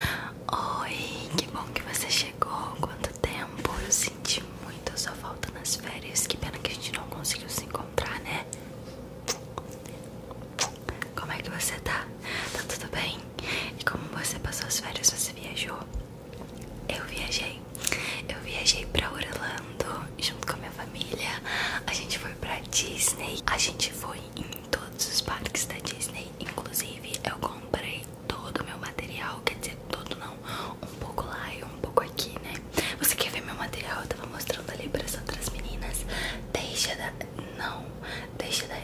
Oi, que bom que você chegou. Quanto tempo? Eu senti muito a sua falta nas férias. Que pena que a gente não conseguiu se encontrar, né? Como é que você tá? Tá tudo bem? E como você passou as férias? Você viajou? Eu viajei. Eu viajei pra Orlando junto com a minha família. A gente foi pra Disney. A gente foi em todos os parques da Disney, inclusive eu comprei todo o meu material, quer dizer, todo não, um pouco lá e um pouco aqui, né? Você quer ver meu material? Eu tava mostrando ali para as outras meninas. Deixa da. Não, deixa da.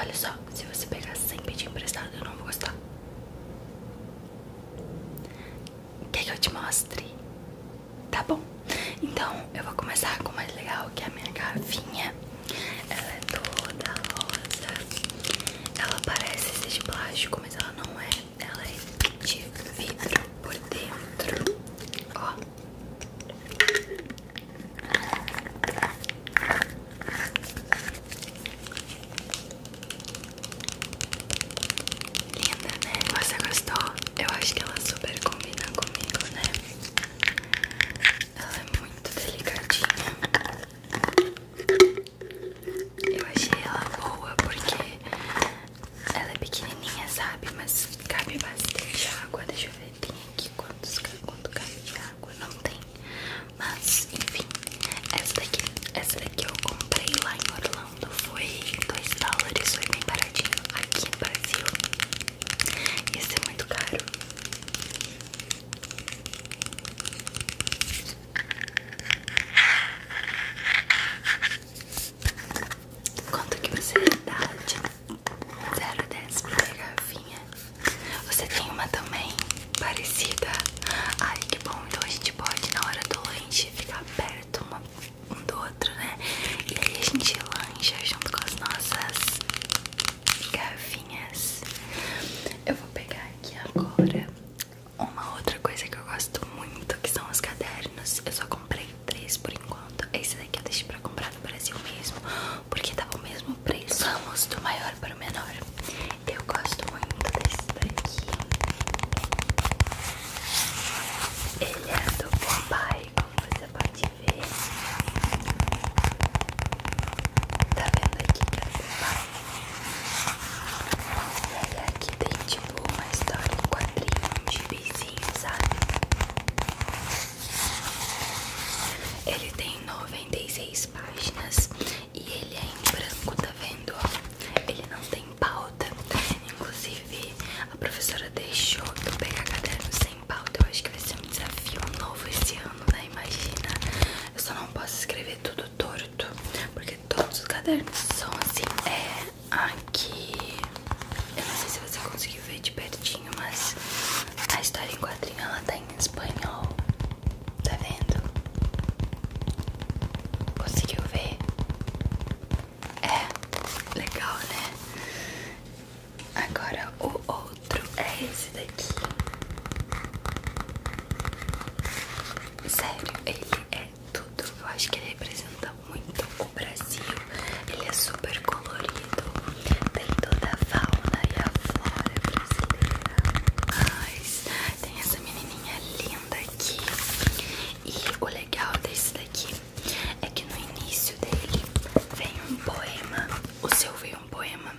Olha só, se você pegar sem pedir emprestado, eu não vou gostar. Quer que eu te mostre? Tá bom. Então eu vou começar com o mais legal, que é a minha garrafinha. Ela é toda rosa. Ela parece ser de plástico, mas ela não é. Ela é de vidro por dentro. Ó. Linda, né? Você gostou? Eu acho que ela super combina comigo, né? Ela é muito delicadinha. Eu achei ela boa porque ela é pequenininha, sabe? Mas cabe bastante água. Deixa eu ver, tem aqui quantos, quanto cabe de água. Não tem. Mas, enfim, essa daqui, essa daqui eu comprei lá em Orlando. Foi 2 dólares, foi bem baratinho aqui no Brasil. Isso é muito caro. Quanto que você dá de 0 a 10 pra garrafinha? Você tem uma também parecida? Ai que bom, então a gente pode na hora do lanche ficar perto um do outro, né? E aí a gente lancha junto com as nossas garrafinhas. Eu vou pegar aqui agora uma outra coisa que eu gosto muito, que são os cadernos. Eu só comprei três por enquanto. Esse daqui eu deixei pra comprar no Brasil mesmo, porque tava tá o mesmo preço. Vamos do maior para o menor. Eu gosto muito desse daqui. Ele é do Bombay, como você pode ver. Tá vendo aqui que é E aqui tem tipo uma história em quadrinho de vizinho, sabe? Ele tem 96 páginas e ele é em branco, tá vendo? Ele não tem pauta. Inclusive, a professora deixou que eu pegar caderno sem sem eu acho que vai ser um desafio novo esse ano, né? Imagina. Eu só não posso escrever tudo torto, porque todos os cadernos são assim. É aqui. Eu não sei se você conseguiu ver de pertinho, mas a história em quadrinho ela tá em espanhol. Tá vendo? Conseguiu ver? É, legal, né? Agora o outro é esse daqui. Sério, ele é tudo. Eu acho que ele representa muito o Brasil. Ele é super colorido. Tem toda a fauna e a flora brasileira. Mas tem essa menininha linda aqui. E o legal desse daqui é que no início dele vem um poema, o seu veio um poema,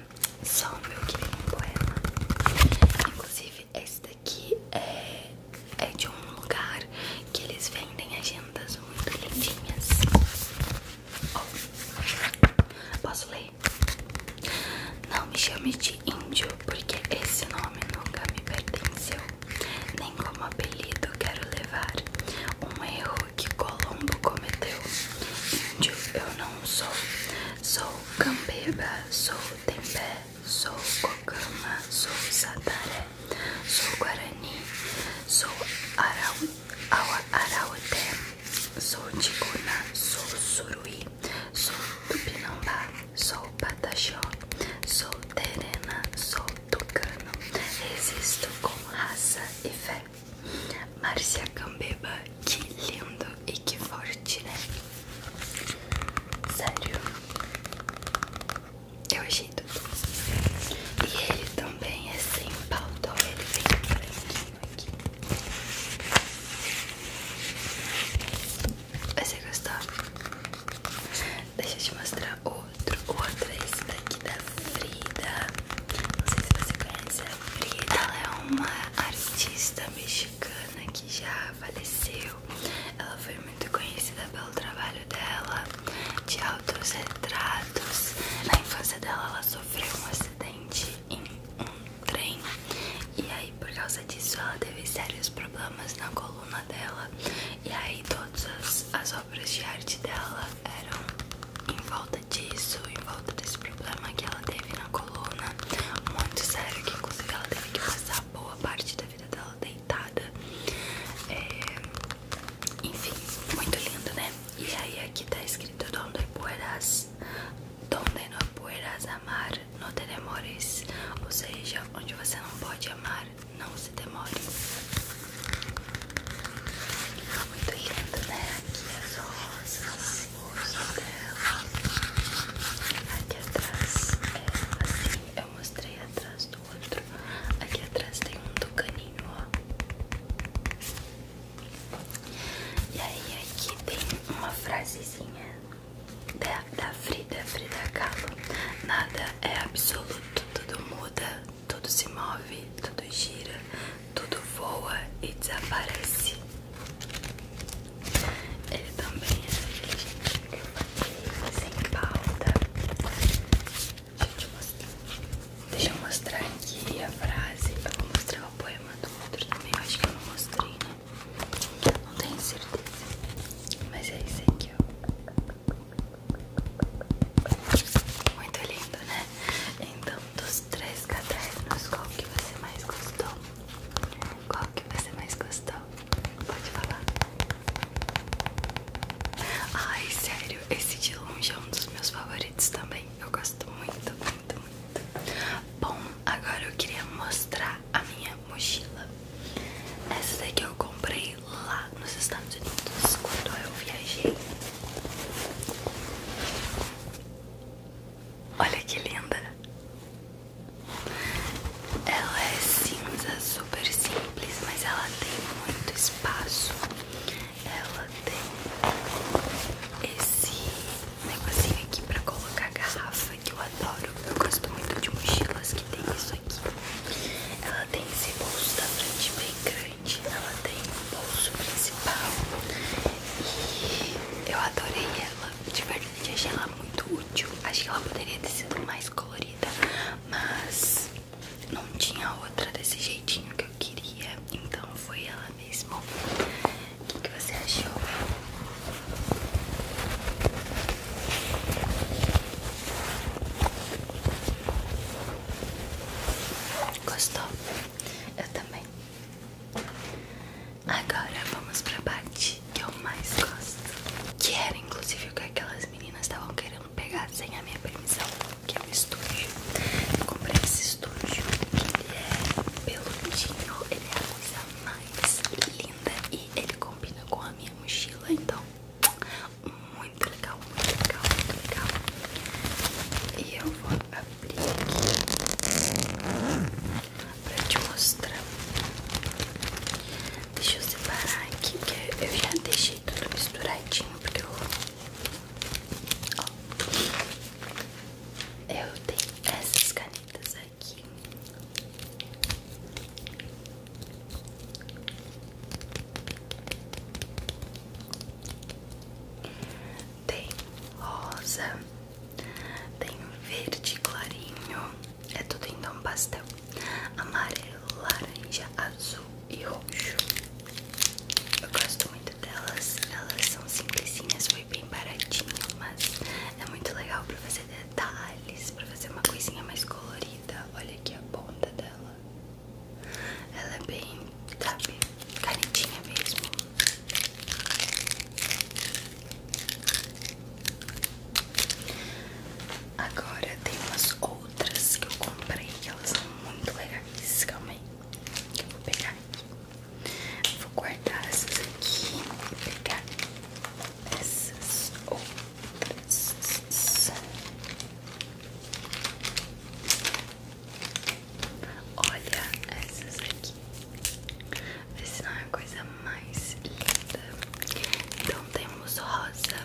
só o meu que vem um poema. Inclusive, esse daqui é, é de um lugar que eles vendem agendas muito lindinhas. Oh, posso ler? Não me chame de índio, porque esse nome nunca me pertenceu, nem como apelido eu quero levar um erro que Colombo cometeu. Índio eu não sou, sou Campeba, sou Tempé, sou Cocama, sou Sataré, sou Guarani, sou Arauté, sou Ticuna, sou Suruí, sou Tupinambá, sou Pataxó, sou Terena, sou Tucano, resisto com raça e fé. Márcia Cambeba, que lindo e que forte, né? Sério, eu achei tudo. E ele também é sem pauta, ele vem branquinho aqui. Você gostou? Deixa eu te mostrar outro, outro é esse daqui da Frida. Não sei se você conhece a Frida. Ela é uma artista mexicana que já faleceu. Ela foi muito conhecida pelo trabalho dela de altos retratos. Na infância dela, ela sofreu um acidente em um trem. E aí, por causa disso, ela teve sérios problemas na coluna dela. E aí, todas as, as obras de arte dela eram em volta disso, em volta desse problema que ela teve na coluna, muito sério, que que ela teve que passar boa parte da vida dela deitada. É, enfim, muito lindo, né? E aí aqui tá escrito Donde puedas, donde no puedas amar, não te ou seja, onde você não pode amar, não se demore. Tá muito lindo, né? Aqui as rosas, o rosto dela. Aqui atrás é assim, eu mostrei atrás do outro. Aqui atrás tem um tucaninho, ó. E aí aqui tem uma frasezinha da, da Frida, Frida Kahlo. Nada é absoluto, tudo muda, tudo se move, tudo gira, tudo voa e desaparece. Ele também é gente, eu bati sem pauta. Deixa eu, mostrar. Deixa eu mostrar aqui a frase. Eu vou mostrar o poema do outro também. Eu acho que eu não mostrei, né? Não tenho certeza. Mas é isso aqui, ó. Muito lindo, né? Então, dos três cadernos, qual que você mais gostou? Qual que você mais gostou? Pode falar. Ai, sério, esse de longe é um dos meus favoritos também. Eu gosto muito, muito, muito. Bom, agora eu queria mostrar a minha mochila. Essa daqui eu comprei lá nos Estados Unidos quando eu viajei. Olha que linda! Ela é cinza, super simples, mas ela tem muito espaço. Ela tem esse negocinho aqui pra colocar a garrafa que eu adoro. Eu gosto muito de mochilas que tem isso. Ela tem esse bolso da frente bem grande. Ela tem o bolso principal. E eu adorei ela. De verdade, achei ela muito útil. acho que ela poderia ter sido mais colorida, mas não tinha outra desse jeitinho que eu queria. Então foi ela mesmo. O que, que você achou? Gostou? Eu também. Agora vamos pra parte que eu mais gosto. Que era inclusive o que aquelas meninas estavam querendo pegar sem a minha permissão. Que é o estúdio. Eu comprei esse estúdio. Ele é peludinho. Ele é a coisa mais linda. E ele combina com a minha mochila. Então muito legal, muito legal, muito legal. E eu vou abrir aqui pra te mostrar. Deixa eu separar aqui, porque eu já deixei tudo misturadinho, porque eu... Eu tenho essas canetas aqui. Tem rosa, tem verde clarinho, é tudo então pastel, amarelo, laranja, azul e roxo. Eu gosto muito delas, elas são simplesinhas, foi bem baratinho, mas é muito legal pra fazer detalhes, pra fazer uma coisinha mais colorida. Olha aqui a ponta dela. Ela é bem, sabe, carentinha mesmo. Agora tem umas outras que eu comprei que elas são muito legais. Calma aí, vou pegar aqui. Vou guardar essas aqui e pegar essas outras. Olha essas aqui. Esse não é a coisa mais linda. Então temos rosa,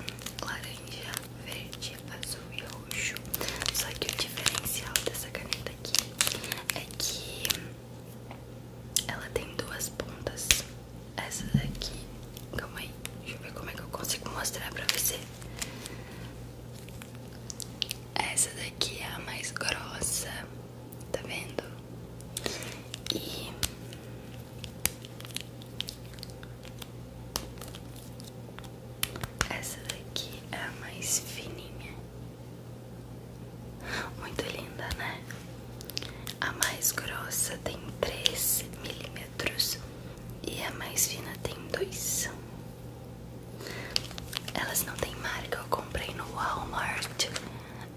laranja, verde, azul e roxo. Só que o diferencial dessa caneta aqui é que ela tem duas pontas. Essa daqui, calma aí, deixa eu ver como é que eu consigo mostrar pra você. Essa daqui é a mais grossa, tá vendo? E essa daqui é a mais fininha, muito linda, né? A mais grossa tem 3 milímetros e a mais fina tem 2. Elas não têm marca, eu comprei no Walmart.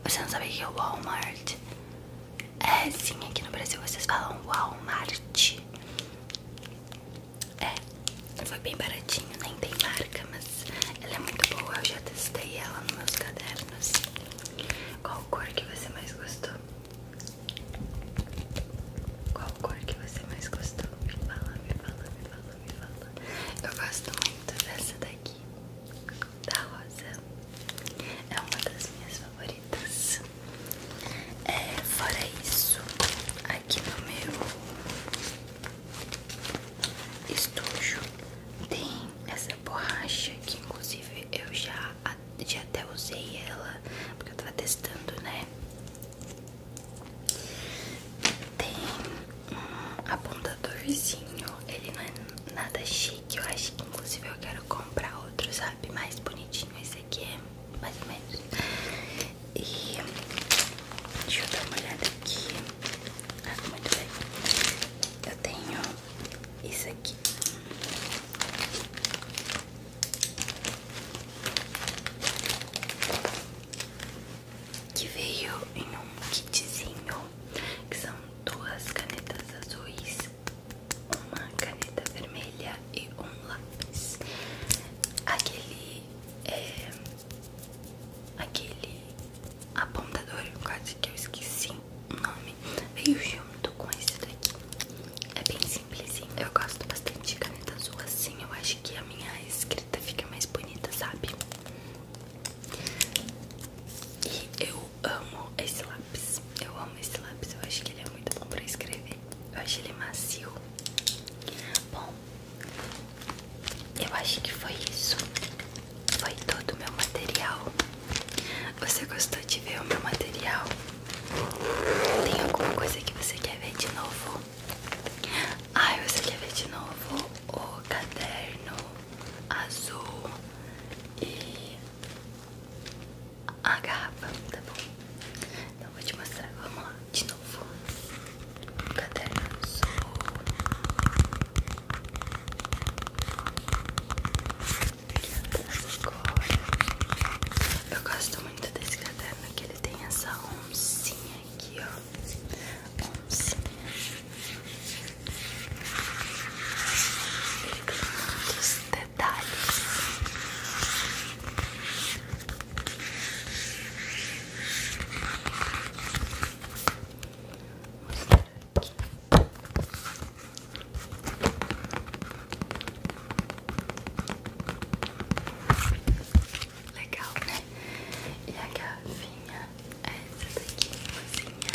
Você não sabia que é o Walmart? É sim, aqui no Brasil vocês falam Walmart. É, foi bem baratinho, nem tem marca, mas ela é muito boa. Eu já testei ela nos meus cadernos. Qual cor que você mais gostou? Qual cor que você mais gostou? Me fala, me fala, me fala, me fala. Eu gosto muito dessa daqui, da rosa. É uma das minhas favoritas. É, fora isso, aqui no meu estojo tem essa borracha que inclusive eu já a de até usei ela porque eu tava testando, né? Tem um apontadorzinho, ele não é nada chique, eu acho que inclusive eu quero comprar outro, sabe? Mais bonitinho, esse aqui é mais ou menos. E deixa eu dar uma olhada aqui. Ah, muito bem. Eu tenho isso aqui. Que veio em um kitzinho, que são duas canetas azuis, uma caneta vermelha e um lápis. Aquele é aquele apontador, quase que eu esqueci o nome veio junto com esse daqui. É bem simplesinho. Eu gosto bastante de caneta azul assim. Eu acho que a minha escrita fica mais bonita, sabe? E eu amo esse lápis. Eu amo esse lápis. Eu acho que ele é muito bom pra escrever. Eu acho que ele é macio. Bom, eu acho que foi isso. Foi todo o meu material. Você gostou de ver o meu material? Tem alguma coisa que você quer ver de novo? Ai, você quer ver de novo o caderno azul e a garrafa, tá bom? Então vou te mostrar, vamos lá, de novo. caderno azul eu gosto muito desse caderno que ele tem essa oncinha aqui, ó. Oncinha. Ele tem muitos detalhes. Mostrar Legal, né? E a garrafinha é essa daqui, mozinha.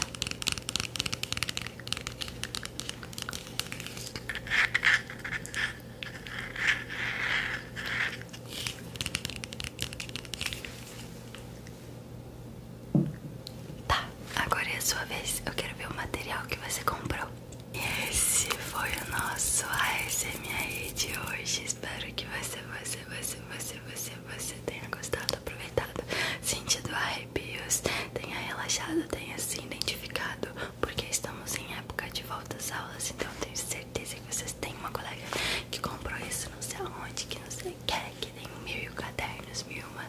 Tá, agora é a sua vez. Eu quero ver o material que você comprou. E esse foi o nosso ASMR de hoje. Espero que você, você, você, você, você, você tenha gostado, aproveitado, sentido arrepios, tenha relaxado, tenha se identificado, porque estamos em época de volta às aulas, então eu tenho certeza que vocês têm uma colega que comprou isso não sei aonde, que não sei você quer que tenham mil cadernos, mil uma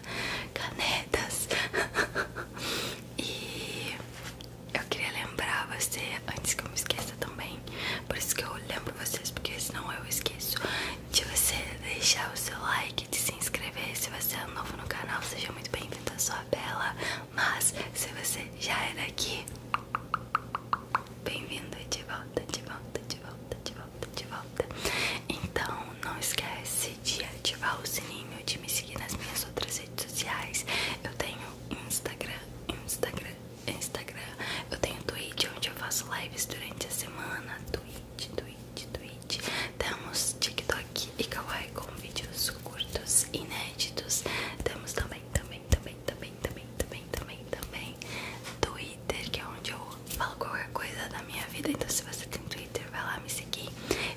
canetas. e eu queria lembrar você, antes que eu me esqueça também, por isso que eu lembro vocês, porque senão eu esqueço, de você deixar o seu like, de se inscrever. Se você é novo no canal, seja muito bem-vindo à sua bela. Mas se você já era é aqui bem-vindo de volta, de volta, de volta, de volta volta, de volta. Então, não esquece de ativar o sininho, de me seguir nas minhas outras redes sociais. Eu tenho Instagram, Instagram, Instagram. Eu tenho Twitch, onde eu faço lives durante a semana. Twitch, Twitch, Twitch. Temos TikTok e Kawaii com vídeos curtos, inéditos. Temos também, também, também, também, também, também, também, também. também Twitter, que é onde eu falo qualquer coisa da minha vida. Então, se você tem Twitter, vai lá me seguir.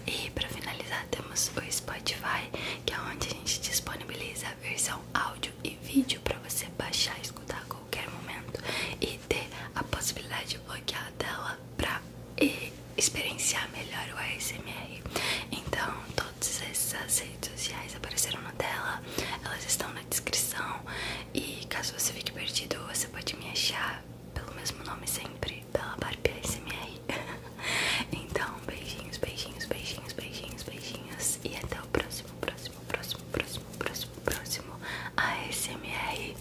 E para finalizar, temos o Spotify, que é onde a gente disponibiliza a versão áudio e vídeo para você baixar escutar a qualquer momento e ter a possibilidade de bloquear a tela para experienciar melhor o ASMR. Então, todos esses redes sociais apareceram na tela, elas estão descrição. E caso você fique perdido, você pode me achar pelo mesmo nome sempre, pela Barbie ASMR. então, beijinhos, beijinhos, beijinhos, beijinhos, beijinhos. E até o próximo, próximo, próximo, próximo, próximo, próximo a ASMR.